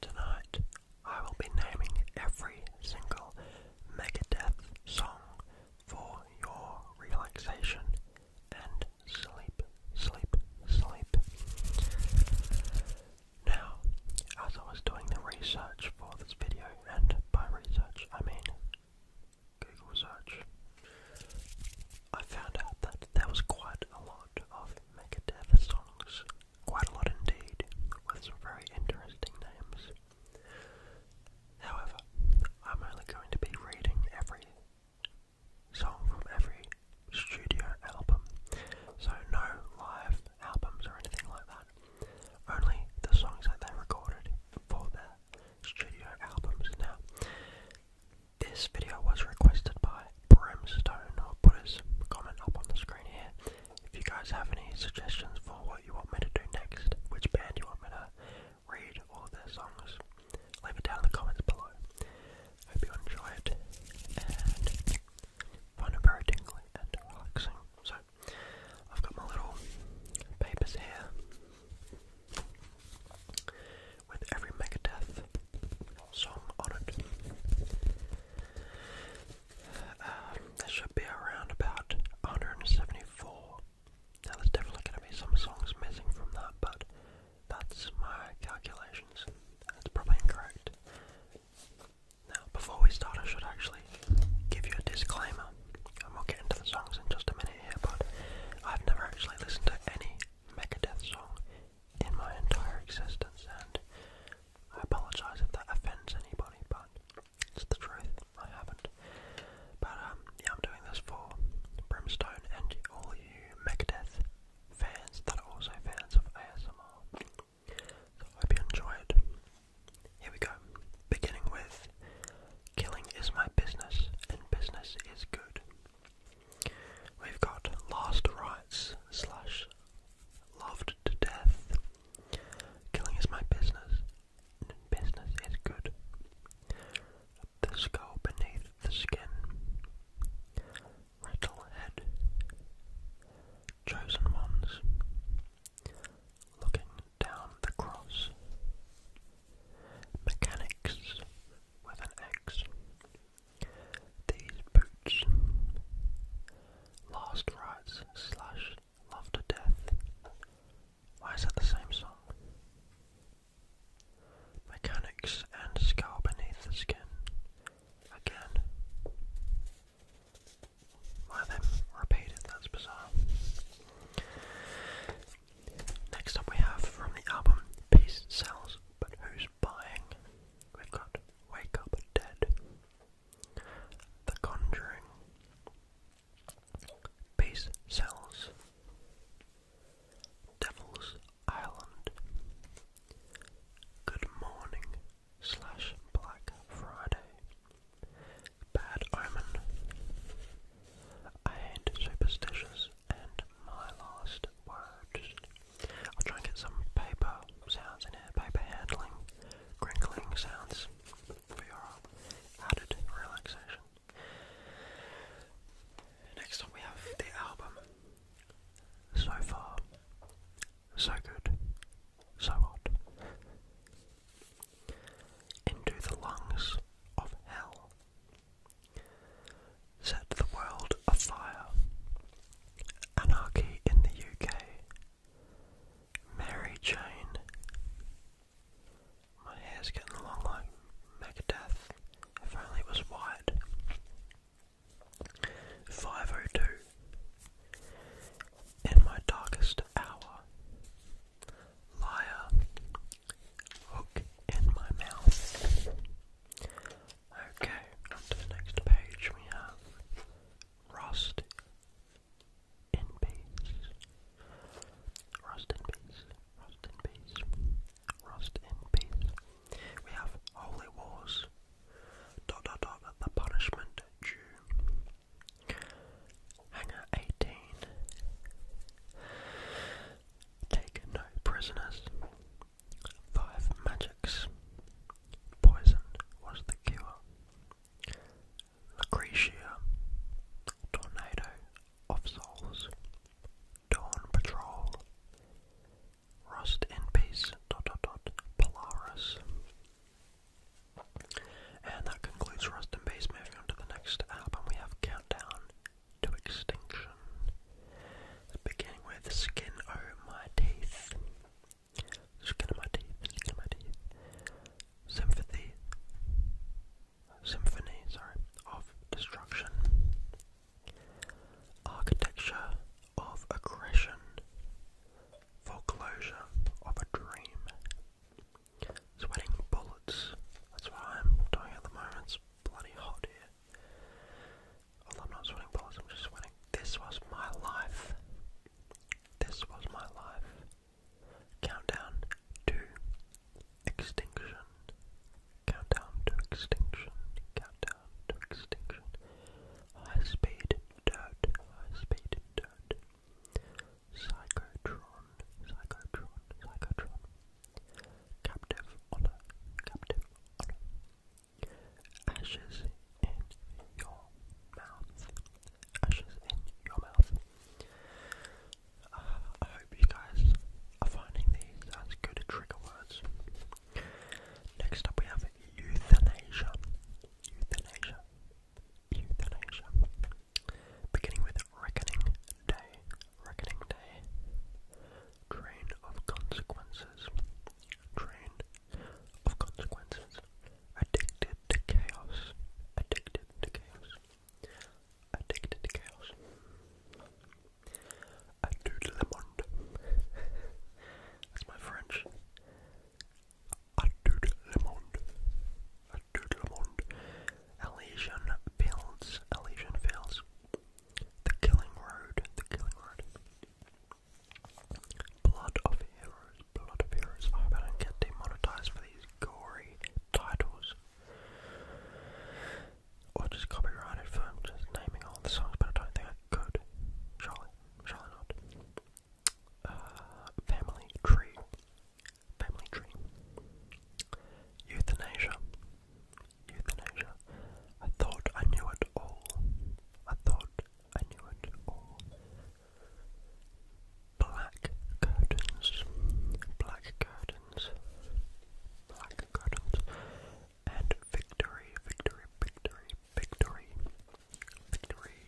Tonight, I will be naming every single Megadeth song for your relaxation and sleep, sleep, sleep. Now, as I was doing the research for this video, and by research I mean Google search, I found out that there was quite a lot of Megadeth songs, quite a lot indeed, with some very interesting names. However, I'm only going to be reading every song from every studio album, so no live albums or anything like that, only the songs that they recorded for their studio albums. Now, this video was requested by Brimstone. I'll put his comment up on the screen here. If you guys have any suggestions for what you want me to do next, which band you want me to read all their songs, leave it down in the comments below. Hope you enjoyed and find it very tingly and relaxing. So, I've got my little papers here with every Megadeth song on it. Um, should be around about 174. Now, there's definitely going to be some songs missing from that, but that's my calculations. That's probably incorrect. Now, before we start, I should actually give you a disclaimer. And we'll get into the songs in just a minute here, but I've never actually listened to any Megadeth song in my entire existence, and I apologize if that offends anybody, but it's the truth. I haven't. But um, I'm doing this for Brimstone and all you Megadeth fans that are also fans of ASMR. So I hope you enjoy it. Here we go. Beginning with Killing is my business and business is good. We've got Last Rites Loved to Death. Killing is my business. Business is good. The skull beneath the skin. Rattlehead. Chosen ones. Looking down the cross. Mechanics with an X. These boots last rites slash love to death. Why is that the same song? Mechanics and scar beneath the skin. Again. Why them repeated, that's bizarre. Next up we have from the album Peace Sells but who's buying? We've got Wake Up Dead, The Conjuring, Peace Cells, Devil's Island, Good Morning slash Black Friday, Bad Omen, I Ain't Superstitious, and my last words. I'll try and get some paper sounds in here, paper handling, crinkling sounds for your added relaxation. Next up we have the album. So far, so good, so hot. Into the lungs of hell set the world afire. Anarchy in the UK. Mary Jane. My hair's getting long Megadeth. If only it was white. 502. In my darkest hour. Liar. Hook in my mouth. Okay, onto the next page we have Rust in Peace. Rust in Peace. Rust in Peace. Rust in Peace. We have Holy Wars. Dot dot the punishment due. Hanger eighteen. Take no prisoners. Five magics. Poison was the cure. Lucretia. Tornado of Souls. Dawn Patrol. Rust in peace. Dot dot dot. Polaris. And that concludes Rust in Peace. Moving on to the next album, we have Countdown to extinction. Beginning with skin over my teeth. Skin of my teeth, skin of my teeth. Sympathy. Symphony, sorry, of destruction. Architecture of aggression. Foreclosure of a dream. Sweating bullets. That's what I'm doing at the moment. It's bloody hot here. Although I'm not sweating bullets, I'm just sweating. This was my life. This was my life. Countdown to extinction. Countdown to extinction. Countdown to extinction. High speed dirt. High speed dirt. Psychotron. Psychotron. Psychotron. Captive honor, captive honor. Ashes in your mouth. Ashes in your mouth. Ah, I hope you guys are finding these as good trigger words. Next up, we have euthanasia. Euthanasia. Euthanasia. Beginning with Reckoning Day. Reckoning Day, Train of Consequences, Train of Consequences, Addicted to Chaos, Addicted to Chaos, Addicted to Chaos, A Le Monde, that's my French, A Le Monde, A Le Monde, Elysian Fields, Elysian Fields, The Killing Road, The Killing Road, Blood of Heroes, Blood of Heroes. I hope I don't get demonetized for these gory titles. Or just copyrighted for just naming all the songs, but I don't think I could. Surely, surely not. Uh, family Tree, family tree. Euthanasia. Euthanasia. I thought I knew it all. I thought I knew it all. Black curtains. Black curtains. Black curtains. And victory, victory, victory, victory. Victory.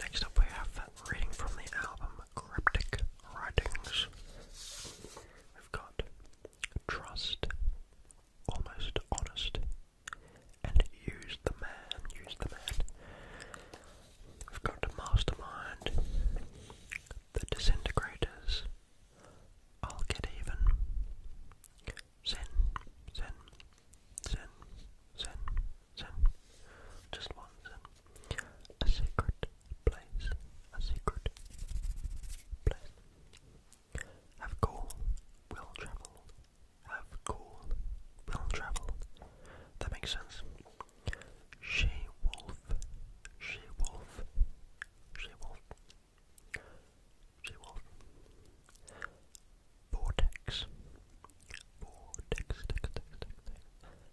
Next up we have reading from the album cryptic writings. We've got trust, almost honest, and use the man, use the man. We've got a mastermind, the disintegrators, I'll get even, zen, zen, zen, zen, zen, just one zen a secret place, a secret place. Have goal, will travel. Have goal, will travel. That makes sense. She wolf, she wolf, she wolf, she wolf. Vortex, vortex, text, text, text.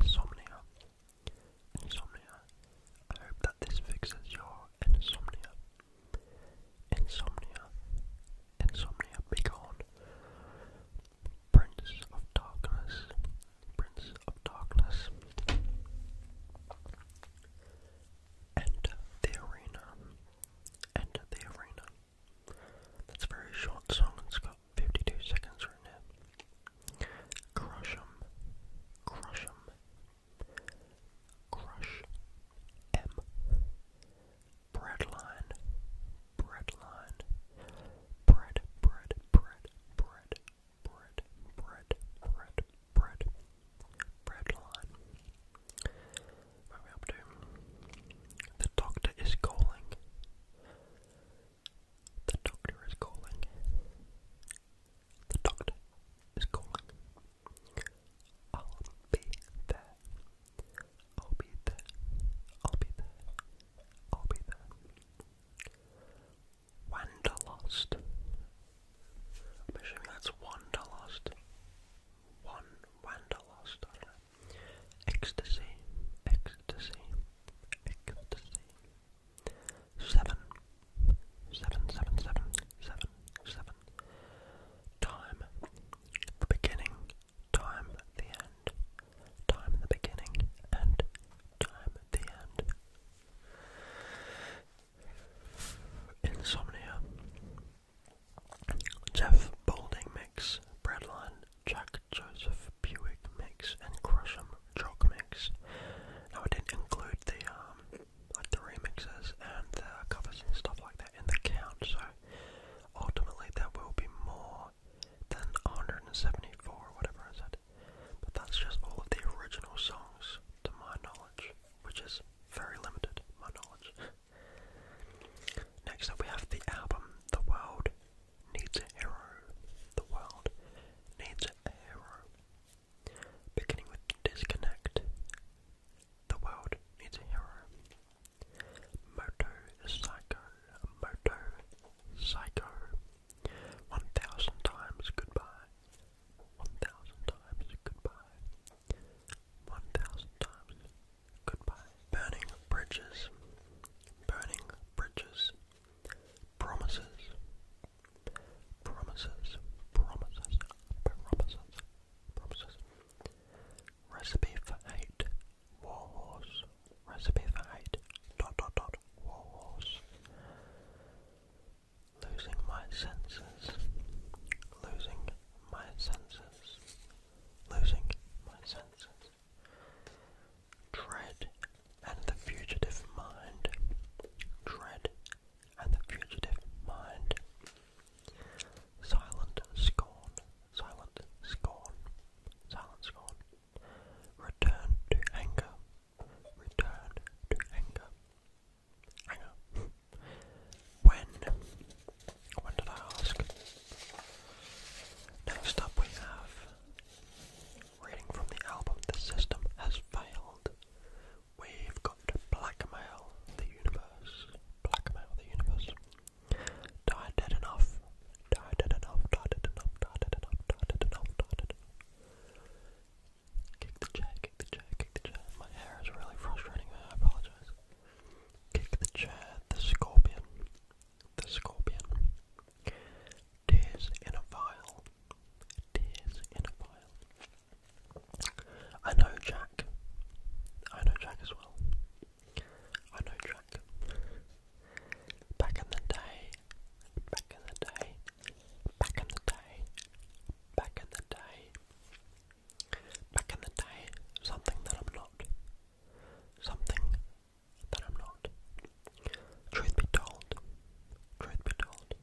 insomnia. Insomnia. I hope that this fixes your insomnia. Insomnia. Insomnia be gone. Prince of Darkness. Prince of Darkness. Enter the arena. Enter the arena. That's a very short song, 52 seconds right now. Crush 'em. Crush 'em. Crush M. Breadline. Breadline. Bread, bread, bread, bread, bread, bread, bread, Breadline. What we up to? The doctor is calling. The doctor is calling. The doctor is calling. I'll be there. I'll be there. I'll be there. I'll be there. Wanderlust. I'm assuming that's Wanderlust. One Wanderlust, ecstasy, ecstasy, ecstasy. Seven, seven, seven, seven, seven, seven. Time, the beginning, time, the end, time, the beginning, and time, the end. Insomnia. Jeff Balding, mix, Jack Joseph Buick mix, and Crush'em jog mix. Now I didn't include the um, like the remixes and the covers and stuff like that in the count, so ultimately there will be more than 174 whatever I said. But that's just all of the original songs to my knowledge, which is very limited, my knowledge. Next up we have the album The World needs a hero. The world needs a hero. Beginning with disconnect, the world needs a hero. Moto Psycho, Moto Psycho. One thousand times goodbye. One thousand times goodbye. One thousand times Goodbye. Burning bridges. Burning bridges. Promises. Promises. Promises. Promises. Promises. Recipe for hate. Warhorse. Recipe for hate. Dot dot dot. Warhorse. Losing my senses. Losing my senses. Losing my senses. Dread and the fugitive mind. Dread and the fugitive mind. Silent scorn. Silent scorn. Silent scorn. Return to anger. Return to anger. Anger. When when did I ask? Next up we have reading from the album The System Has Failed. We've got Blackmail the Universe. Blackmail the Universe. Die dead enough. Die dead enough. Die dead enough. Die dead enough. Die dead enough. Die dead Kick the chair. Kick the chair. Kick the chair. My hair is really frustrating. I apologize. Kick the chair. The Scorpion the scorpion. Tears in a vial. Tears in a vial. I know Jack. I know Jack as well. I know Jack. Back in the day. Back in the day. Back in the day. Back in the day. Back in the day. Something that I'm not something that I'm not. Truth be told, truth be told,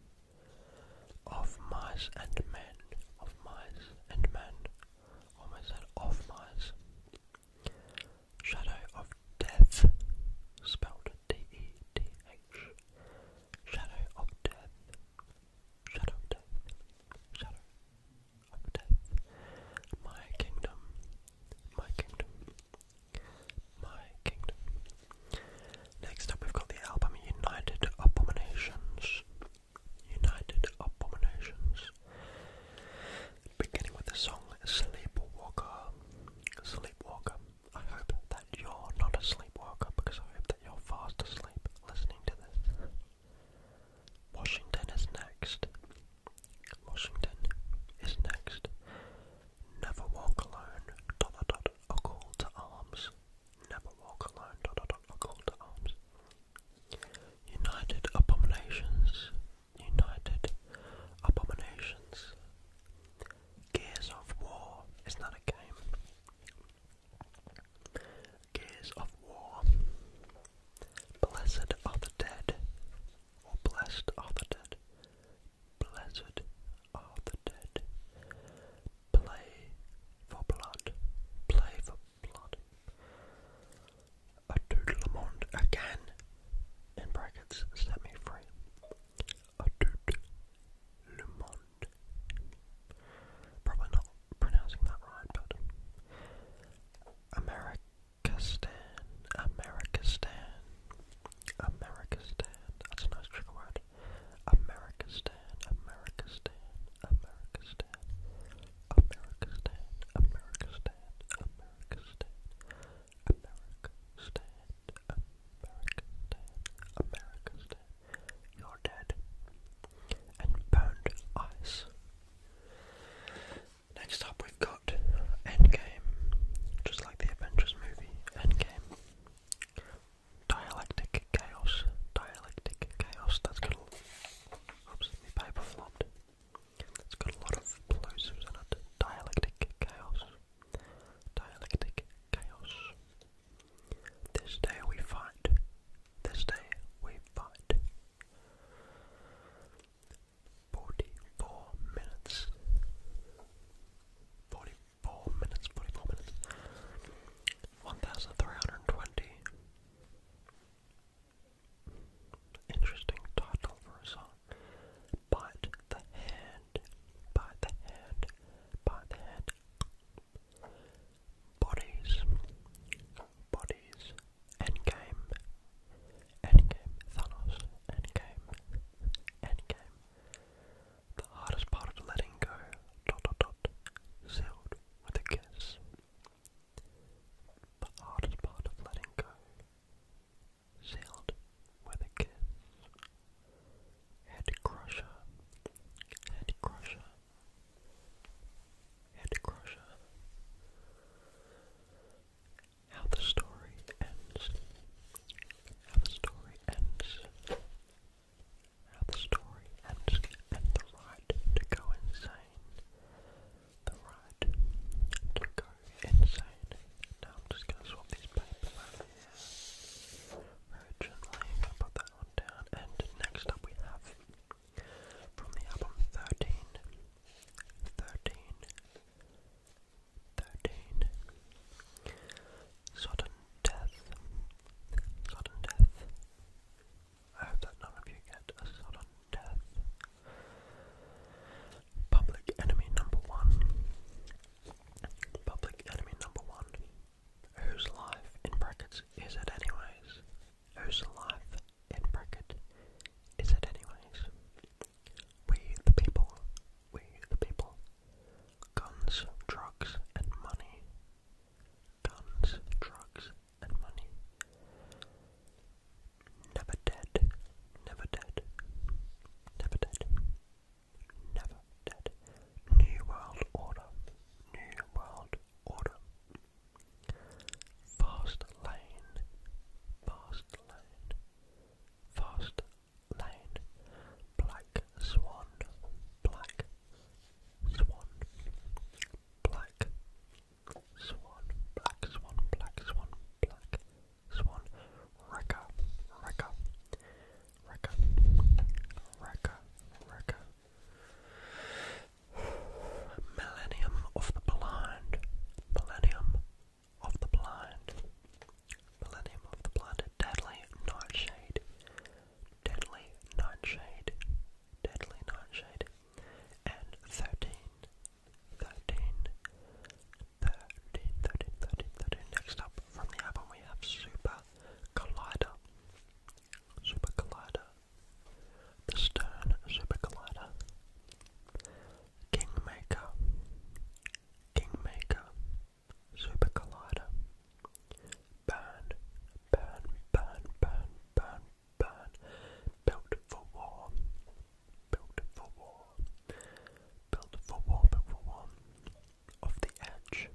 of mice and men, of mice and men, almost said of mice. Shadow of Death, spelled D-E-T-H. Shadow of Death, Shadow of Death, Shadow of death. My kingdom, my kingdom, my kingdom. Next up, we've got the album United Abominations. United Abominations. Beginning with the song Sleepwalker. Sleepwalker. I hope that you're not a sleepwalker because I hope that you're fast asleep listening to this. Washington is next. Washington is next. Never walk alone. Dot dot dot. call to arms. Never walk alone. Dot dot dot. call to arms. United abominations. United abominations. Gears of War. Is that a game? Gears of War. Blessed are the dead, or blessed are the dead. Blessed are the dead. Play for blood, play for blood. A doodle again, in brackets, set me free. A doodle Probably not pronouncing that right, but Americastan, Americastan, Americastan. That's a nice trigger word. Americastan, Americastan, Americastan, Americastan, Americastan, Americastan, Americastan, Americastan, Americastan. You're dead. And burned ice. Next up, we've got Endgame, just like the Avengers movie Endgame. Dialectic Chaos, Dialectic Chaos, that's oops, paper flopped. It's got a lot of plosives in it. Dialectic Chaos, Dialectic Chaos. This day we fight this day we fight. Forty-four minutes. Forty-four minutes. Forty-four minutes. One thousand three hundred twenty. Interesting title for a song. Bite the hand. Bite the hand. Bite the hand bodies, bodies, endgame, endgame, Thanos, endgame, endgame. The hardest part of letting go, dot dot dot, sealed with a kiss. The hardest part of letting go, sealed with a kiss. Head crusher, head crusher, and Crusher. How the story ends. How the story ends. How the story ends. And the right to go insane. The right to go insane. Now I'm just going to swap these papers over here. Very i put that one down. And next up we have from the album 13, Sudden death, sudden death. I hope that none of you get a sudden death. Public enemy number one. Public enemy number one. Whose life, in brackets, is it anyways? Who's alive? in bracket, is it anyways? We the people, we the people. Guns, drugs, and money. Guns, drugs, and money. Never dead, never dead, never dead, never dead. New World Order, New World Order. Fast lane, fast lane, fast lane, black swan, black swan, black swan, black swan, black swan, black swan, wrecker, wrecker, wrecker, wrecker, wrecker. Millennium of the Blind. Millennium of the Blind. Millennium of the Blind. Deadly Nightshade. Deadly Nightshade. Deadly Nightshade. And 13. Next up from the album we have Super Collider. Super Collider the Stern Super Collider, Kingmaker, Kingmaker, Super Collider, Burn, Burn, Burn, Burn, Burn, Burn, Built for War, Built for War, Built for War, Built for War, Off the Edge,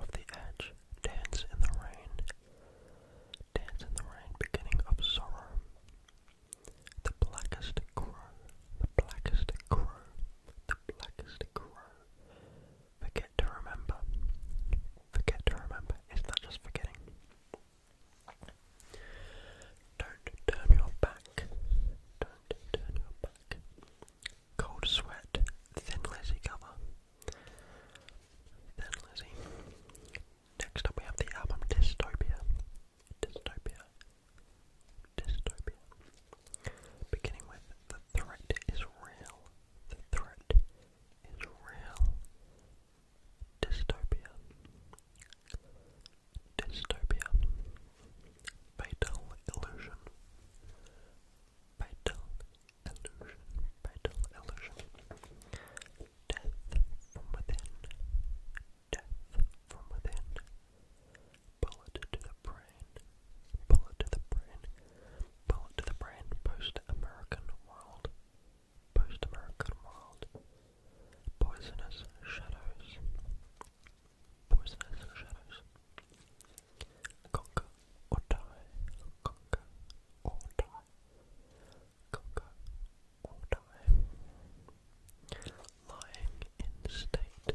of the edge, dance in the rain, dance in the rain, beginning of sorrow. The blackest crow, the blackest crow, the blackest crow. Forget to remember, forget to remember. Is that just forgetting? Don't turn your back, don't turn your back. Cold Sweat, Thin Lizzie cover. Thin Lizzy. Next up we have the album Dystopia. Dystopia. Dystopia. Beginning with The Threat is Real. The Threat is Real. Dystopia. Dystopia. Fatal Illusion. Vital illusion, vital illusion. Death from within, death from within. Bullet to the brain, bullet to the brain, bullet to the brain. Post-American world, post-American world. Poisonous shadows, poisonous shadows. Conquer or die. Conquer or die. Conquer or die. Lying in state.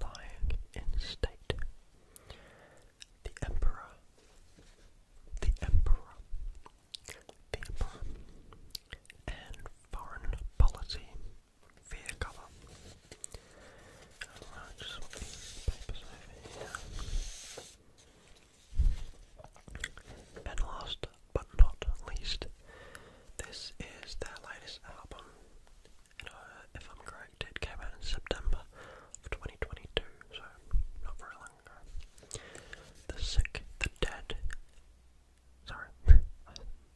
Lying in state. The emperor. The emperor. The emperor. And foreign policy. Fear and last but not least, this is their latest album. Uh, if I'm correct, it came out in September of 2022, so not very long ago. The Sick, the Dead. Sorry,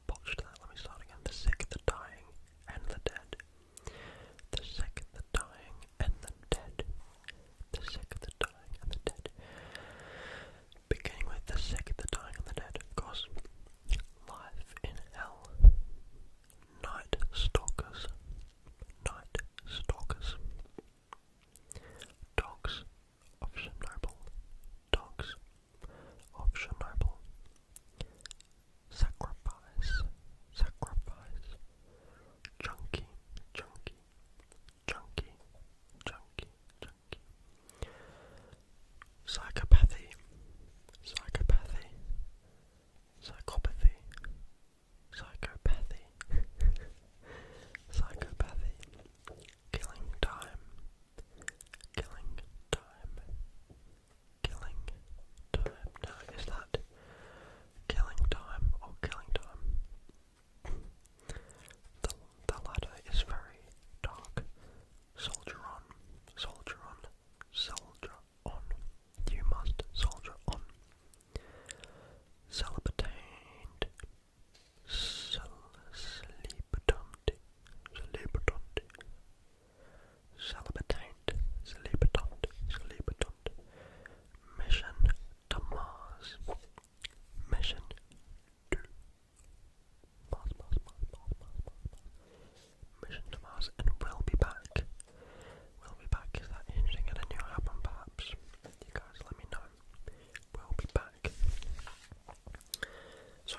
botched that. Let me start again. The Sick, the Dying, and the Dead. The sick, the dying, and the dead. The sick, the dying, and the dead. Beginning with the sick, the dying, and the dead, of Life in hell. Night stalkers. Night stalkers. Dogs of Chernobyl. Dogs of Chernobyl sacrifice, sacrifice, junkie, junkie, junkie, junkie, junkie, psychopathy, psychopathy, psychopathy, psychopathy, psychopathy, killing time, killing time killing time. No, is that killing time or killing time? The, the latter is very dark. Soldier on, soldier on, soldier on. You must soldier on. Celibatant. Celibatant. Celibatant. Celebitant, celebitant, celebitant. Mission to Mars. Mission to Mars, Mars, Mars, Mars, Mars, Mars. Mission to Mars, and we'll be back. We'll be back. Is that hinting at a new album, perhaps? You guys, let me know. We'll be back. So,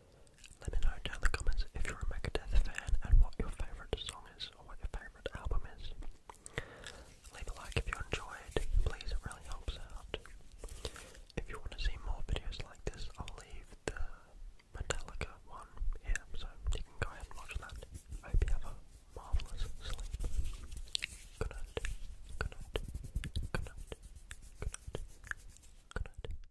Let me know down in the comments if you're a Megadeth fan and what your favourite song is or what your favourite album is. Leave a like if you enjoyed, please, it really helps out. If you want to see more videos like this, I'll leave the Metallica one here, so you can go ahead and watch that. hope you have a marvellous sleep. Good night, good night, good